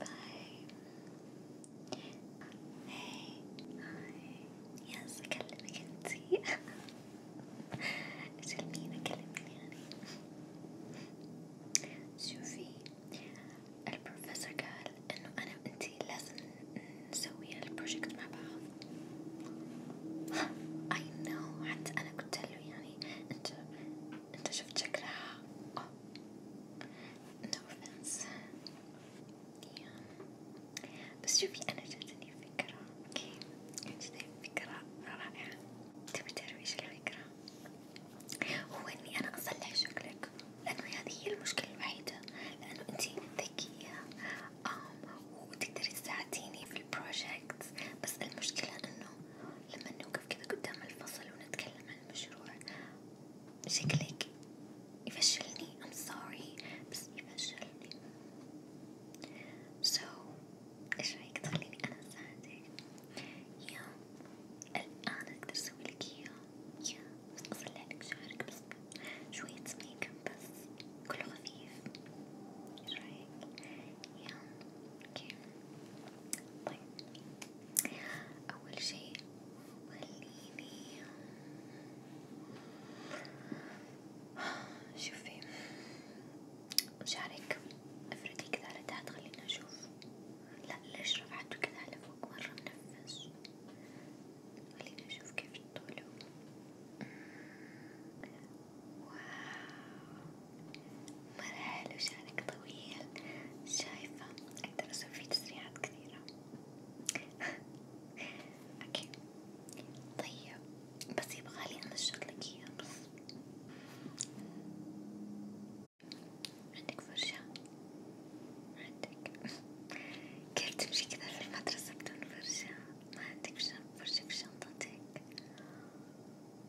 باي هاي هاي يس أكلمك انتي اجل مين أكلمني يعني شوفي البروفيسور قال انه انا وانتي لازم نسوي البروجكت مع بعض I know حتى انا قلت له يعني انت انت شفت شكلها اه no offense بس شوفي انا جاتني فكرة اوكي جاتني فكرة رائعة تبي تعرفي ايش الفكرة؟ هو اني انا اصلح شكلك لانه هذه هي المشكلة الوحيدة لانه انتي ذكية وتقدري تساعديني في البروجكت بس المشكلة انه لما نوقف كذا قدام الفصل ونتكلم عن المشروع شكلك يفشلني I'm sorry بس يفشلني so ايش رايك تخليني انا اساعدك يا الان اقدر اسوي لك اياه يا بس اصلح لك شعرك بس شوية ميك اب بس كله خفيف ايش رايك يا اوكي طيب أول شيء خليني شوفي شعرك افردي كذا على تحت خليني أشوف لا ليش رفعته كذا على فوق مرة منفس خليني أشوف كيف طوله واو مرة حلو شعرك طويل شايفة أقدر أسوي فيه تسريحات كثيرة أوكي طيب بس يبغالي أنا أشغلك إياه بس عندك فرشة؟ عندك كيف تمشي كذا في المدرسة بدون فرشة؟ ما عندك فرشة في شنطتك؟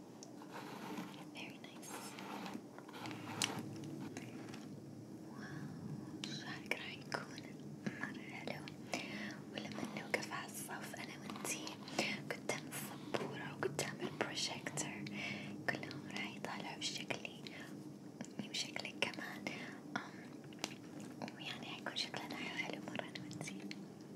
Very nice. واو شعرك راح يكون مرة حلو ولما نوقف على الصف أنا وأنتي قدام السبورة وقدام البروجيكتر كلهم راح يطالعوا بشكلي وشكلك كمان ويعني حيكون شكلنا حلو مرة أنا وأنتي.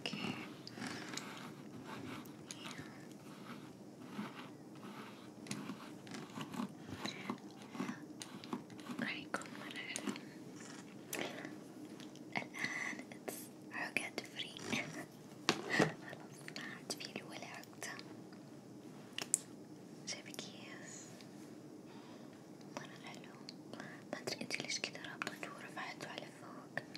Okay. رايكم مرة الآن عقد فري خلاص ما عاد فيه ولا عقدة جايبة كيس مرة حلو ما أدري أنتي ليش كذا رابطته ورفعته على فوق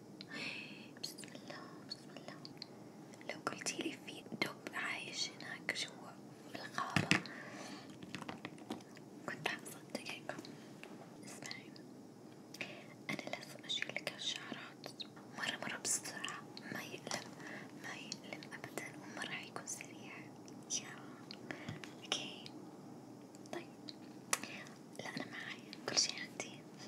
بسم الله بسم الله لو قلتيلي في دب عايش هناك جوا بالغابة كنت حصدقك اسمعي أنا لازم أشيلك هالشعرات مرة مرة بسرعة ما يألم ما يألم أبدا وما راح يكون سريع يا اوكي طيب لا أنا معايا كل شي عندي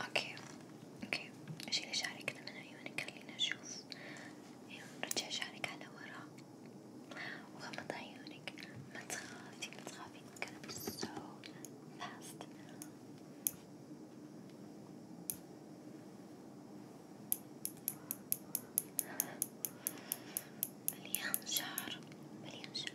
اوكي اوكي شيلي شعرك كذا من عيونك خلينا نشوف رجع شعرك على ورا وغمض عيونك ما تخافي ما تخافي كلام so fast مليان شعر مليان شعر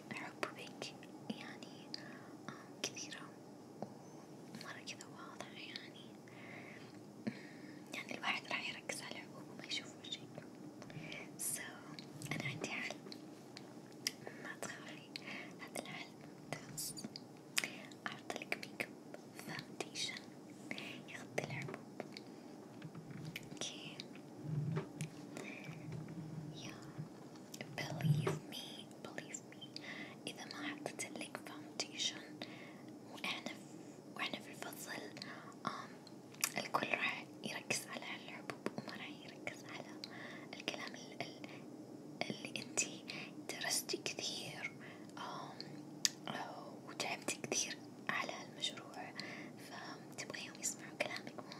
حب بك يعني آه، كثيرة ومرة كذا واضحة يعني يعني الواحد راح يركز على العقوب وما يشوف وجهك سو so, أنا عندي حل ما تخافي هذا الحل ممتاز أعطلك ميك اب فاونديشن يغطي العقوب اوكي يا believe me believe me إذا ما حطيت لك foundation وإحنا وإحنا في الفصل الكل راح يركز على الحبوب وما راح يركز على الكلام اللي انتي درستي كثير وتعبتي كثير على المشروع فتبغيهم يسمعوا كلامك مو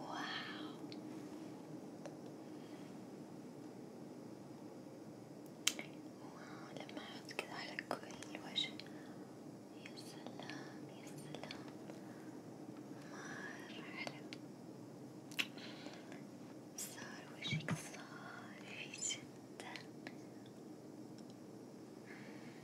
واو واو لما أحط كذا على كل وجه يا سلام يا سلام مرة حلو صار وجهك صافي جدا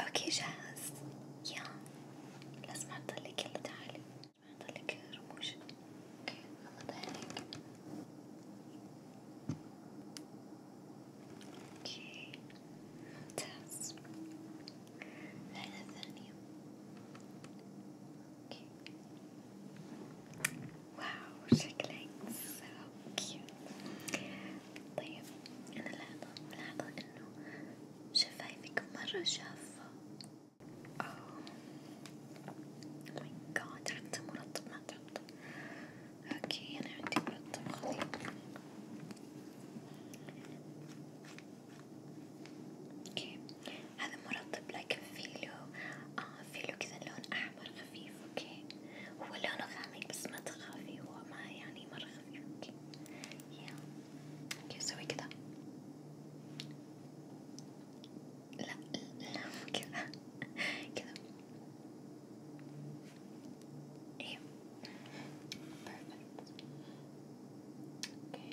اوكي جاهز يا لازم احطلك يلا تعالي احطلك رموش اوكي غمض عينيك اوكي ممتاز العينة الثانية اوكي واو شكلك so cute طيب أنا لاحظة ملاحظة إنه شفايفك مرة شافة oh my god حتى مرطب ما تحط اوكي أنا عندي مرطب خذي اوكي هذا مرطب لكن فيلو آه فيلو كذا لون أحمر خفيف أوكي هو لونه غامق بس ما تخافي هو ما يعني مرة خفيف أوكي يا أوكي سوي كذا لا لا كذا كذا إيه بيرفكت أوكي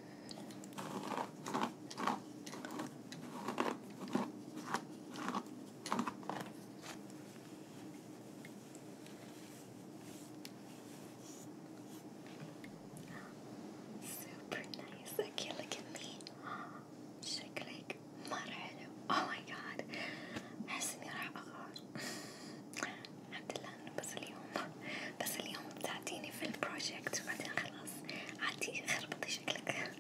Super nice. شكلك مرة حلو. Oh my god. أحس إني راح أغار. الحمد لله بس اليوم بس اليوم بتعطيني في البروجكت وبعدين خلاص عادي خربطي شكلك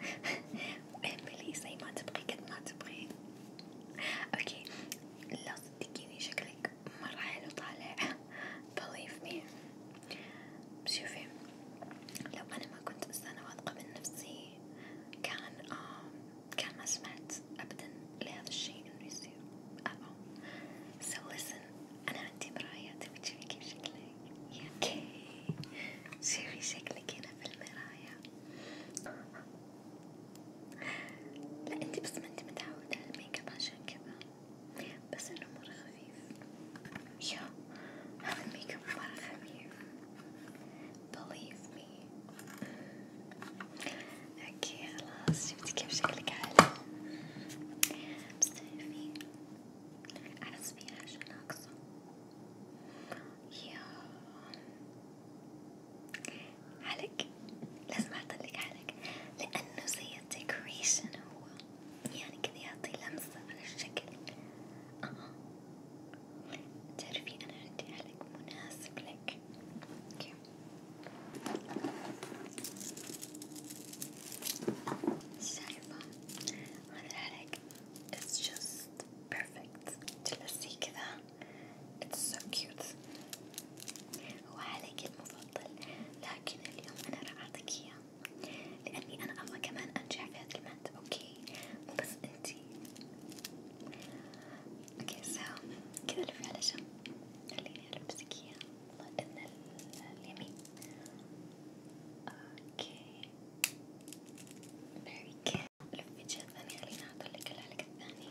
اعملي زي ما تبغي قد ما تبغي اوكي لا صدقيني شكلك مرة حلو طالع believe me شوفي لو انا ما كنت انسانة واثقة من نفسي كان آه كان ما سمعت ابدا لهذا الشيء انه يصير اه so listen انا عندي مرايات تبي كيف شكلي ياكي شوفي شكلك هنا في المراية لا انتي بس ما انتي متعودة على الميك اب عشان كذا بس انه مرة خفيف يا هذا الميك اب مرة خفيف believe me اوكي خلاص شفتي كيف شكلك عالي بس تعرفي أحس في حاجة ناقصة يا حلق لازم أعطلك حلق لأنه زي الديكوريشن هو يعني كذا يعطي لمسة على الشكل آه تعرفي أنا عندي حلق مناسب لك أوكي شايفة هذا الحريق it's just perfect تلبسيه كذا it's so cute هو حريقي المفضل لكن اليوم أنا راح أعطيك إياه لأني أنا أبغى كمان أنجح في هذا المادة أوكي مو بس أنتي اوكي سو كذا لفي على جنب خليني ألبسك إياه إن اليمين اوكي very good لفي الجهة الثانية خليني أعطلك العلق الثاني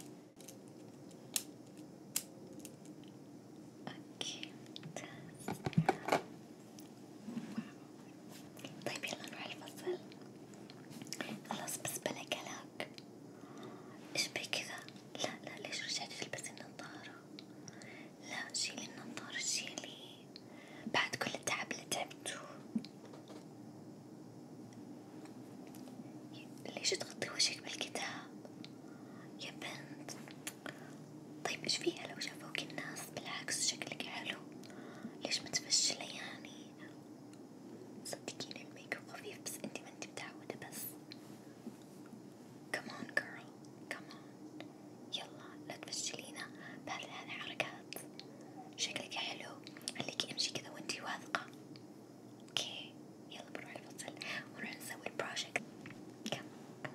اوكي ممتاز طيب يلا نروح الفصل خلاص بس بلا كلاك ايش بي كذا لا لا ليش رجعتي تلبسين النظارة لا شيلي النظارة شيلي بعد كل التعب اللي تعبته ليش تغطي وجهك بالكتاب يا بنت طيب ايش فيها لو شافوك الناس بالعكس شكلك حلو ليش متفشلة يعني صدقيني الميك اب خفيف بس انتي ما انتي متعودة بس كمان girl كمان يلا لا تفشلينا بهذه الحركات شكلك حلو خليكي امشي كذا وانتي واثقة اوكي يلا بنروح الفصل ونروح نسوي البروجكت كمان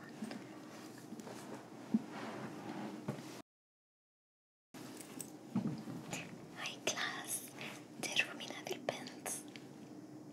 كمان هاي كلاس تعرفوا مين هذي البنت؟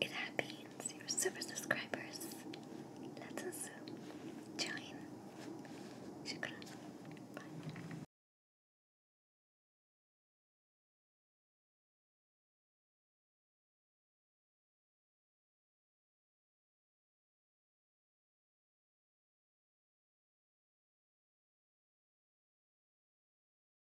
it happens, super subscribers. Let us join. Shukran. Bye.